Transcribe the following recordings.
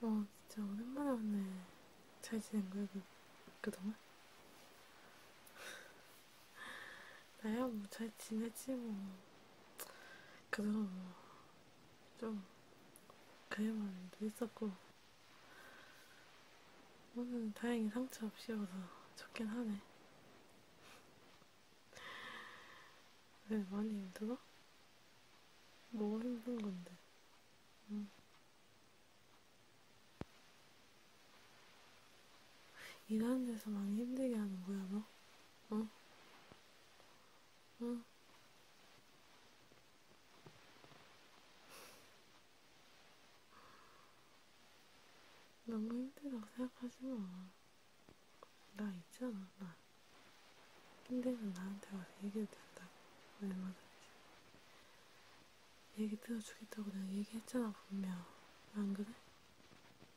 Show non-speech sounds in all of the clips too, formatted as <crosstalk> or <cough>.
너 어, 진짜 오랜만에 왔네. 잘 지낸 거야, 그, 그동안? <laughs> 나야, 뭐, 잘 지냈지, 뭐. 그동안 뭐, 좀, 그래만 있었고. 오늘 다행히 상처 없이 와서 좋긴 하네. 왜 많이 힘들어? 뭐가 힘든 건데? 응. 음. 일하는 데서 많이 힘들게 하는 거야, 너? 응? 어? 응? 어? 너무 힘들다고 생각하지 마. 나 있잖아, 나. 힘들면 나한테 와서 얘기해도 된다. 얼마든지. 얘기 들어주겠다고 내가 얘기했잖아, 분명. 안 그래?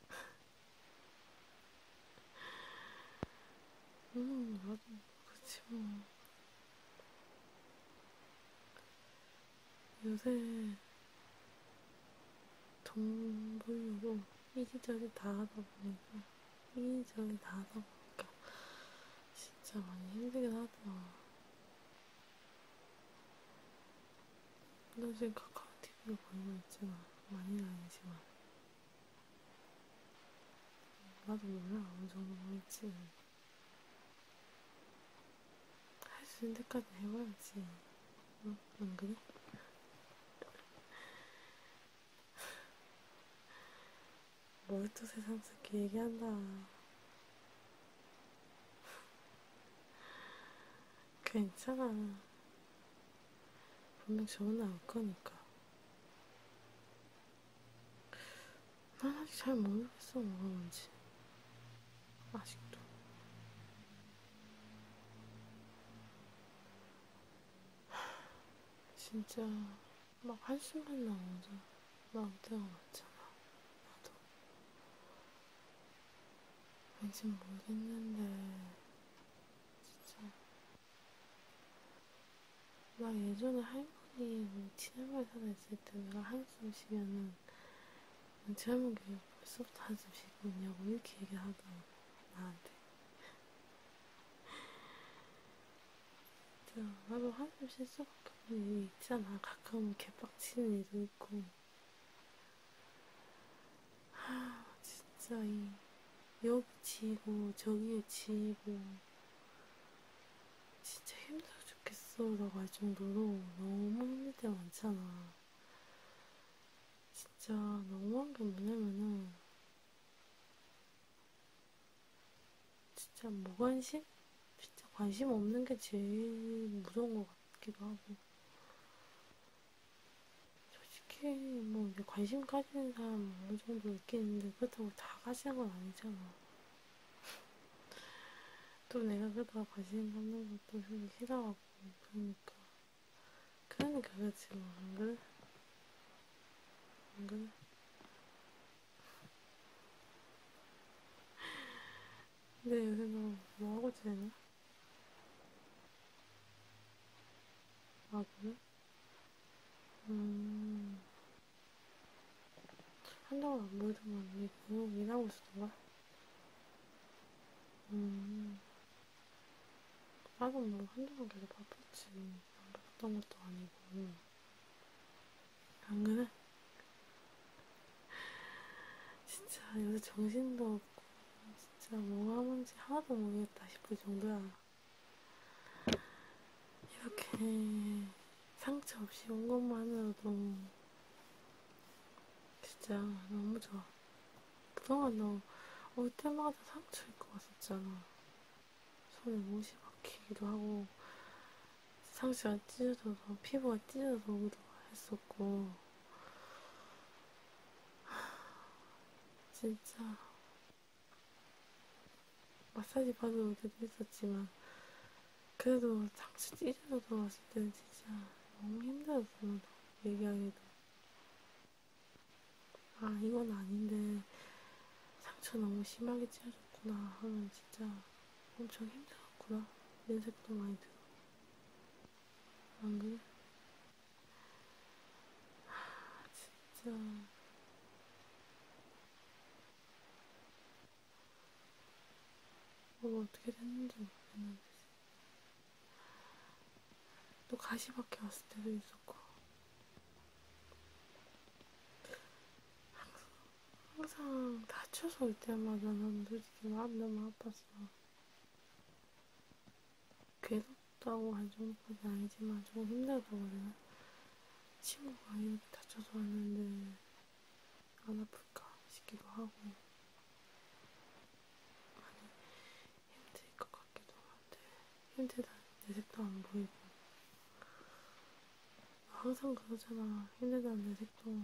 <laughs> 음, 나도, 그치, 뭐. 요새, 돈 벌려고 이리저리 다 하다 보니까, 이리저리 다 하다 보니까, 진짜 많이 힘들긴 하더라. 너 지금 카카오 TV로 보이고 있지만, 많이 아니지만. 나도 몰라, 어느 정도 보이지. 할 수 있는 데까지 해봐야지. 응? 어? 안 그래? 뭘또 새삼스럽게 얘기한다. 괜찮아. 분명 좋은 나올 거니까. 난 아직 잘 모르겠어, 뭐가 뭔지. 아직도. 진짜 막 한숨만 나오죠. 막대가 많잖아. 나도. 왠지 모르겠는데, 진짜. 막 예전에 할머니, 우리 친할머니 살아 있을 때 내가 한숨 쉬면은, 친할머니가 벌써부터 한숨 쉬고 있냐고 이렇게 얘기하더라고, 나한테. 나도 한숨 실수박하는 일이 있잖아. 가끔 개빡치는 일도 있고. 하, 진짜 이, 여기 지고, 저기에 지고. 진짜 힘들어 죽겠어. 라고 할 정도로 너무 힘들 때 많잖아. 진짜 너무한 게 뭐냐면은 진짜 무관심? 뭐 진짜 관심 없는 게 제일 무서운 것 같기도 하고 솔직히 뭐 이제 관심 가지는 사람 어느 정도 있겠는데 그렇다고 다 가지는 건 아니잖아 <laughs> 또 내가 그러다가 관심 갖는 것도 싫어하고 그러니까 그러니까 그렇지 뭐안 그래? 안 그래? 근데 요새 너 뭐하고 지내냐? 아 그래? 음... 한동안 안 보이더만 왜 그냥 일하고 있었던가? 음... 나도 뭐 한동안 계속 바빴지. 안 바빴던 것도 아니고. 안 그래? <laughs> 진짜 요새 정신도 없고, 진짜 뭐 하는지 하나도 모르겠다 싶을 정도야. 이렇게 상처 없이 온 것만으로도 진짜 너무 좋아. 그동안 나올 때마다 상처 입고 왔었잖아. 손에 못이 박히기도 하고 상처가 찢어져서 피부가 찢어져서 오기도 했었고 <sighs> 진짜 마사지 받으러 올 때도 있었지만 그래도 상처 찢어져서 왔을 때는 진짜 너무 힘들었어 얘기하기도 아, 이건 아닌데, 상처 너무 심하게 찢어졌구나 하면 진짜 엄청 힘들었구나. 냄새도 많이 들어. 안 그래? 하, 진짜. 뭐가 어떻게 됐는지 모르겠는데. 또 가시밖에 왔을 때도 있었고 항상, 항상 다쳐서 올 때마다 난 솔직히 마음 너무 아팠어. 괴롭다고 할 정도는 아니지만 좀 힘들다거든요. 친구가 이렇게 다쳐서 왔는데 안 아플까 싶기도 하고 많이 힘들 것 같기도 한데 힘들다 내색도 안 보이고 항상 그러잖아 힘들다는 내색도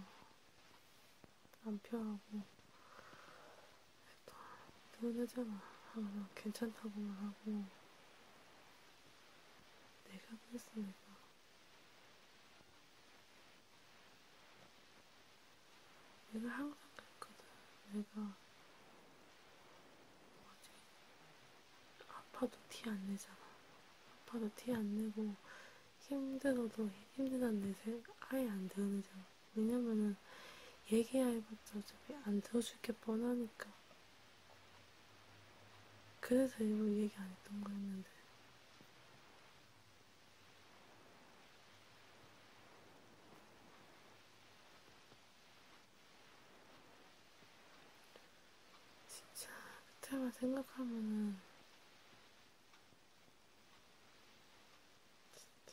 안 표하고 그러잖아 항상 괜찮다고만 하고 내가 그랬으니까 내가 항상 그랬거든. 내가 뭐지? 아파도 티 안 내잖아. 아파도 티 안 내고 힘들어도 힘든 안내세 아예 안 드러내잖아. 왜냐면은 얘기해봤자 어차피 안 들어줄 게 뻔하니까. 그래서 일부러 얘기 안 했던 거였는데 진짜 그때만 생각하면은 진짜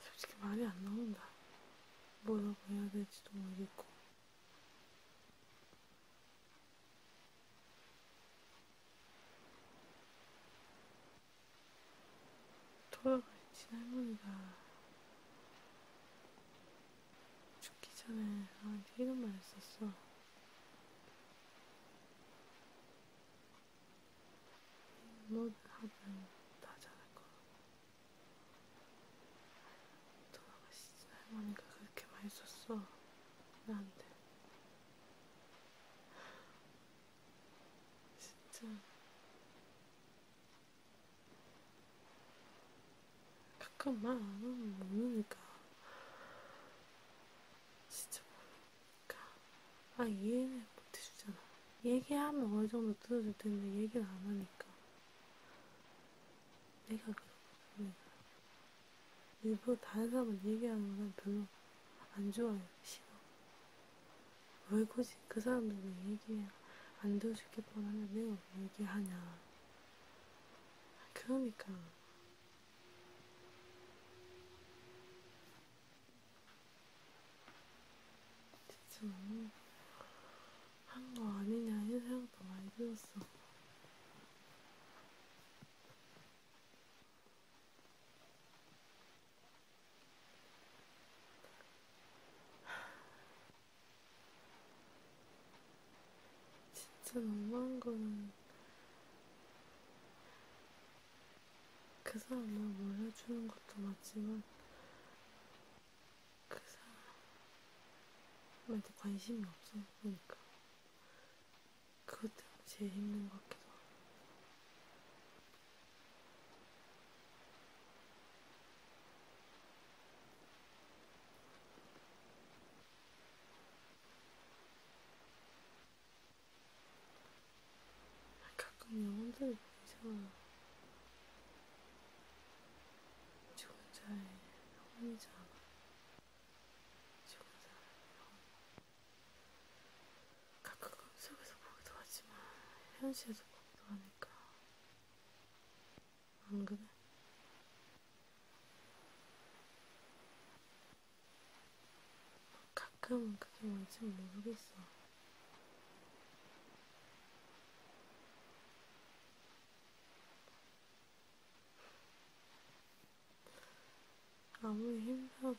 솔직히 말이 안 나온다. 뭐라고 해야 될지도 모르겠고. 돌아가신 할머니가 죽기 전에 나한테 이런 말 했었어. 뭐든 하든 다 잘할 거라고. 돌아가시지 할머니가 그렇게 많이 썼어 나한테 진짜 가끔 말 안하면 모르니까 진짜 모르니까 아 이해는 못해주잖아 얘기하면 어느정도 들어줄텐데 얘기를 안하니까 내가 그렇습니다. 일부러 다른 사람을 얘기하는 건 별로 안 좋아요. 싫어. 왜 굳이 그 사람들은 얘기해. 안 들어줄게 뻔하면 내가 왜 얘기하냐. 그러니까. 진짜 너무 한거 아니냐 이런 생각도 많이 들었어. 진짜 너무한 거는 그 사람 을 몰라주는 것도 맞지만 그 사람한테 관심이 없으니까 그러니까 그것 때문에 제일 힘든 것 같기도 하고 가끔 영혼들이 보이잖아 죽은 자의 혼이자 죽은 자의 혼 가끔 꿈속에서 보기도 하지만 현실에서 보기도 하니까 안 그래? 가끔은 그게 뭔지 모르겠어. 아무리 힘들어도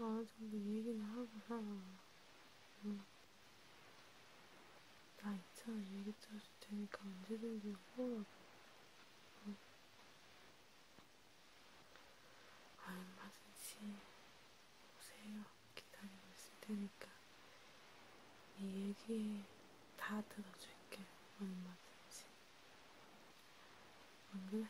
어느 정도 얘기는 하고 살아. 응. 나 있잖아, 얘기 쳐줄 테니까 언제든지 호라고. 응. 얼마든지 아, 오세요. 기다리고 있을 테니까 이 얘기 다 들어줄게 얼마든지 안 그래?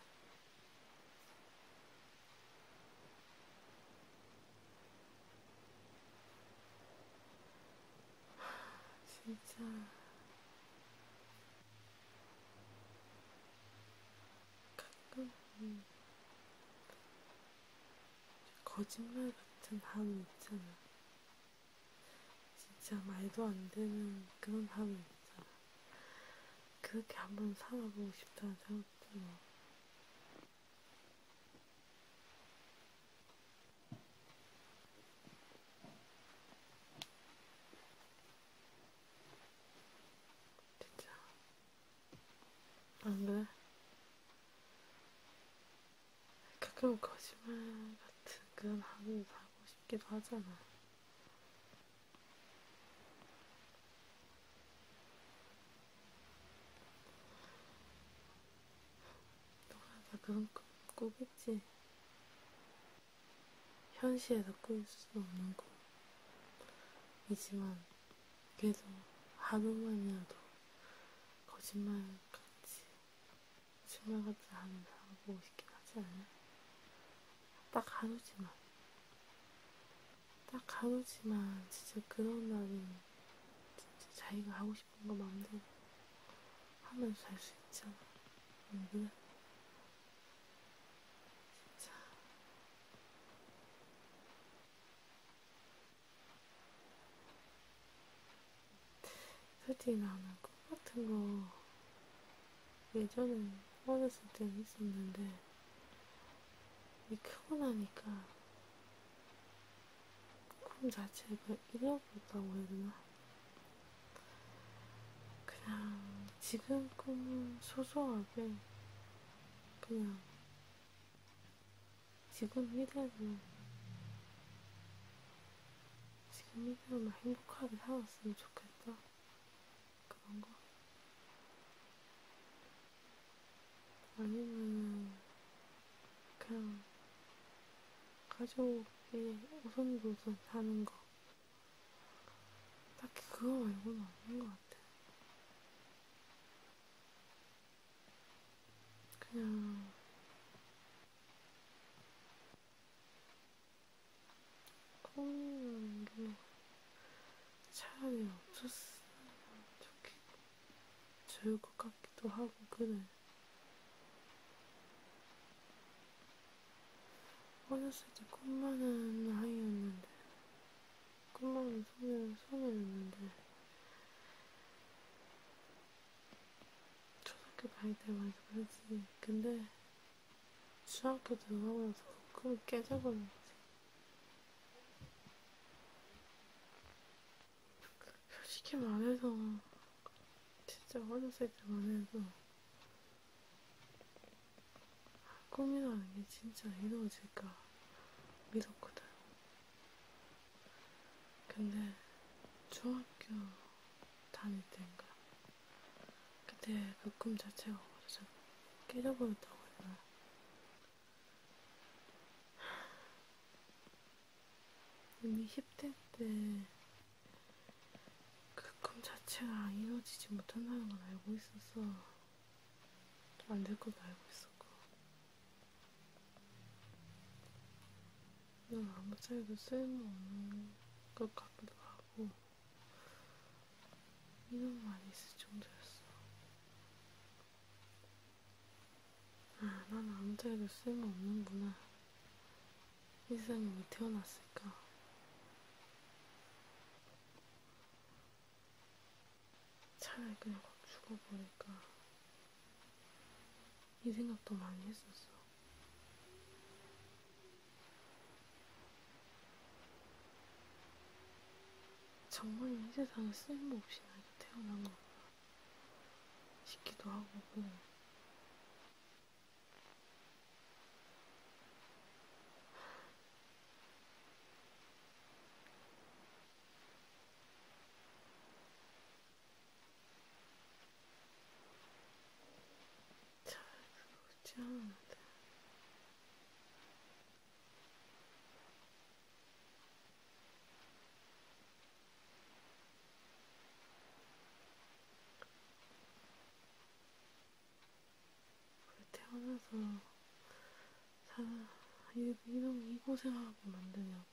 진짜 가끔 음. 거짓말 같은 하루 있잖아. 진짜 말도 안 되는 그런 하루 있잖아. 그렇게 한번 살아보고 싶다는 생각도 들어. 진짜 안 그래? 가끔 거짓말 같은 그런 하고 하고 싶기도 하잖아. 너가 다 그런 꿈 꾸겠지. 현실에서 꾸일 수 없는 꿈이지만 그래서 하루만이라도 거짓말같이 거짓말같이 하면 하고 싶긴 하지 않아요? 딱 하루지만 딱 하루지만 진짜 그런 날은 진짜 자기가 하고 싶은 거 마음대로 하면서 살수 있잖아 안 그래? 진짜 솔직히 나는 꿈 같은 거 예전엔 어렸을 때는 있었는데 이 크고 나니까 꿈 자체를 잃어버렸다고 해야 되나? 그냥 지금 꿈은 소소하게 그냥 지금 이대로, 지금 이대로만 행복하게 살았으면 좋겠다. 그런 거. 아니면, 그냥, 가족이 오손도손 사는 거. 딱히 그거 말고는 없는 것 같아. 그냥 콩이라는 게 차라리 없었으면 좋겠, 좋을 것 같기도 하고, 그래. 어렸을 때꿈 많은 아이였는데 끝나면 손에, 손에 넣는데 초등학교 다닐 때 많이 그랬지. 근데 중학교 들어가고 나서 그 깨져버린 거지. 솔직히 말해서 진짜 어렸을 때만 해도 꿈이라는 게 진짜 이루어질까 믿었거든. 근데 중학교 다닐 때인가 그때 그 꿈 자체가 완전 깨져버렸다고 했나. 이미 10대 때 그 꿈 자체가 이루어지지 못한다는 걸 알고 있어서 안될건 알고 있었고 난 아무 차이도 쓸모없는 것 같기도 하고 인연만 있을 정도였어 아, 난 아무 차이도 쓸모없는구나 세상에 왜 태어났을까 차라리 그냥 확 죽어보니까 이 생각도 많이 했었어. 정말 이 세상에 쓸모없이 내가 태어난 거 싶기도 하고 잘 들어오지 않는데. 태어나서 사, 이런 이 고생하고 만드냐고.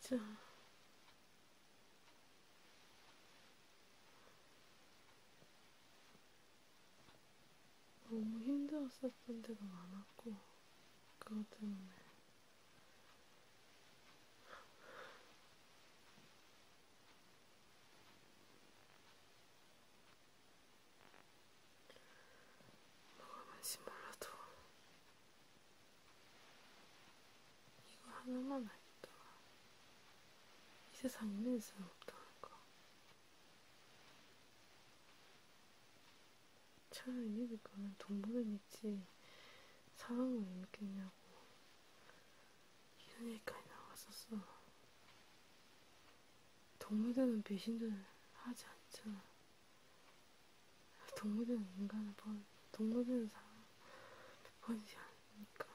진짜. 너무 힘들었었던 데가 많았고, 그것 때문에. 뭐가 뭔지 몰라도 이거 하나만 알겠다. 이 세상에 믿는 사람 없다는 거. 천을 이길 거면 돈 보면 있지 사랑을 왜 믿겠냐고 이런 얘기까지 나왔었어 동물들은 배신을 하지 않잖아 동물들은 인간을 번 동물들은 사람 번지 않으니까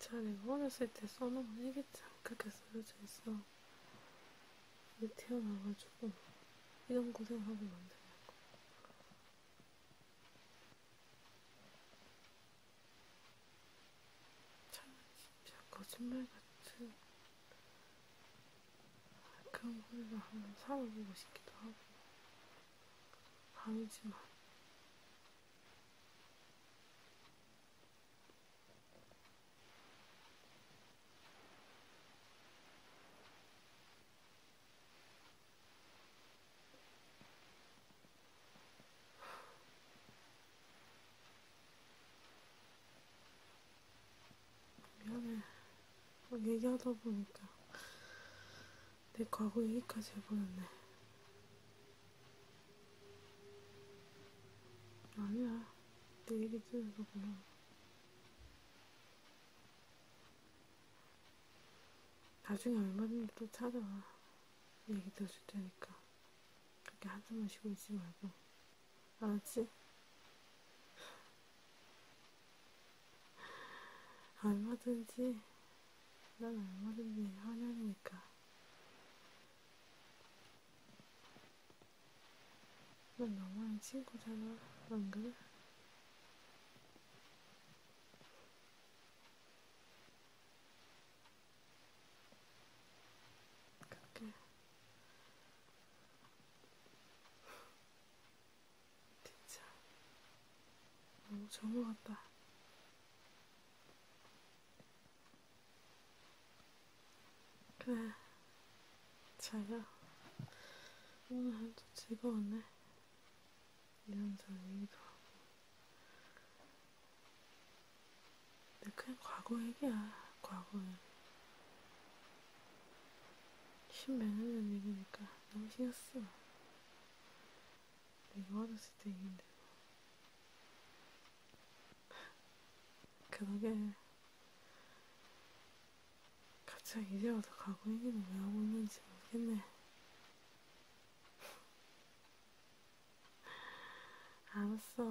진짜 내가 어렸을 때 써놓은 일기 참 그렇게 쓰여져 있어. 근데 태어나가지고 이런 고생하고 만드냐고. 참 진짜 거짓말 같은 그런 걸로 한번 살아보고 싶기도 하고 아니지만 미안해. 막 어, 얘기하다 보니까 내 과거 얘기까지 해버렸네. 아니야. 내 얘기 들어서 고마워. 나중에 얼마든지 또 찾아와. 얘기 더줄 테니까 그렇게 한숨만 쉬고 있지 말고 알았지? 얼마든지 난 얼마든지 환영이니까 난 너만의 친구잖아 안 그래? 그렇게 진짜 너무 좋은 것 같다. 그래, 자야. 오늘 하루도 즐거웠네. 이런저런 얘기도 하고. 근데 그냥 과거 얘기야, 과거에. 십몇 년전 얘기니까 너무 신경 쓰 내가 어렸을 때 얘기인데. <laughs> 그러게. 갑자기 이제 와서 과거 얘기는 왜 하고 있는지 모르겠네. 알았어.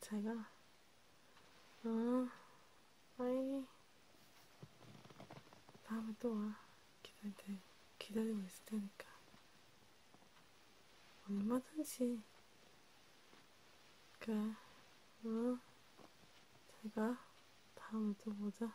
제가, 응, 어, 아이, 다음에 또 와. 기다릴 테, 기다리고 있을 테니까. 얼마든지. 그래, 응, 어, 제가 다음에 또 보자.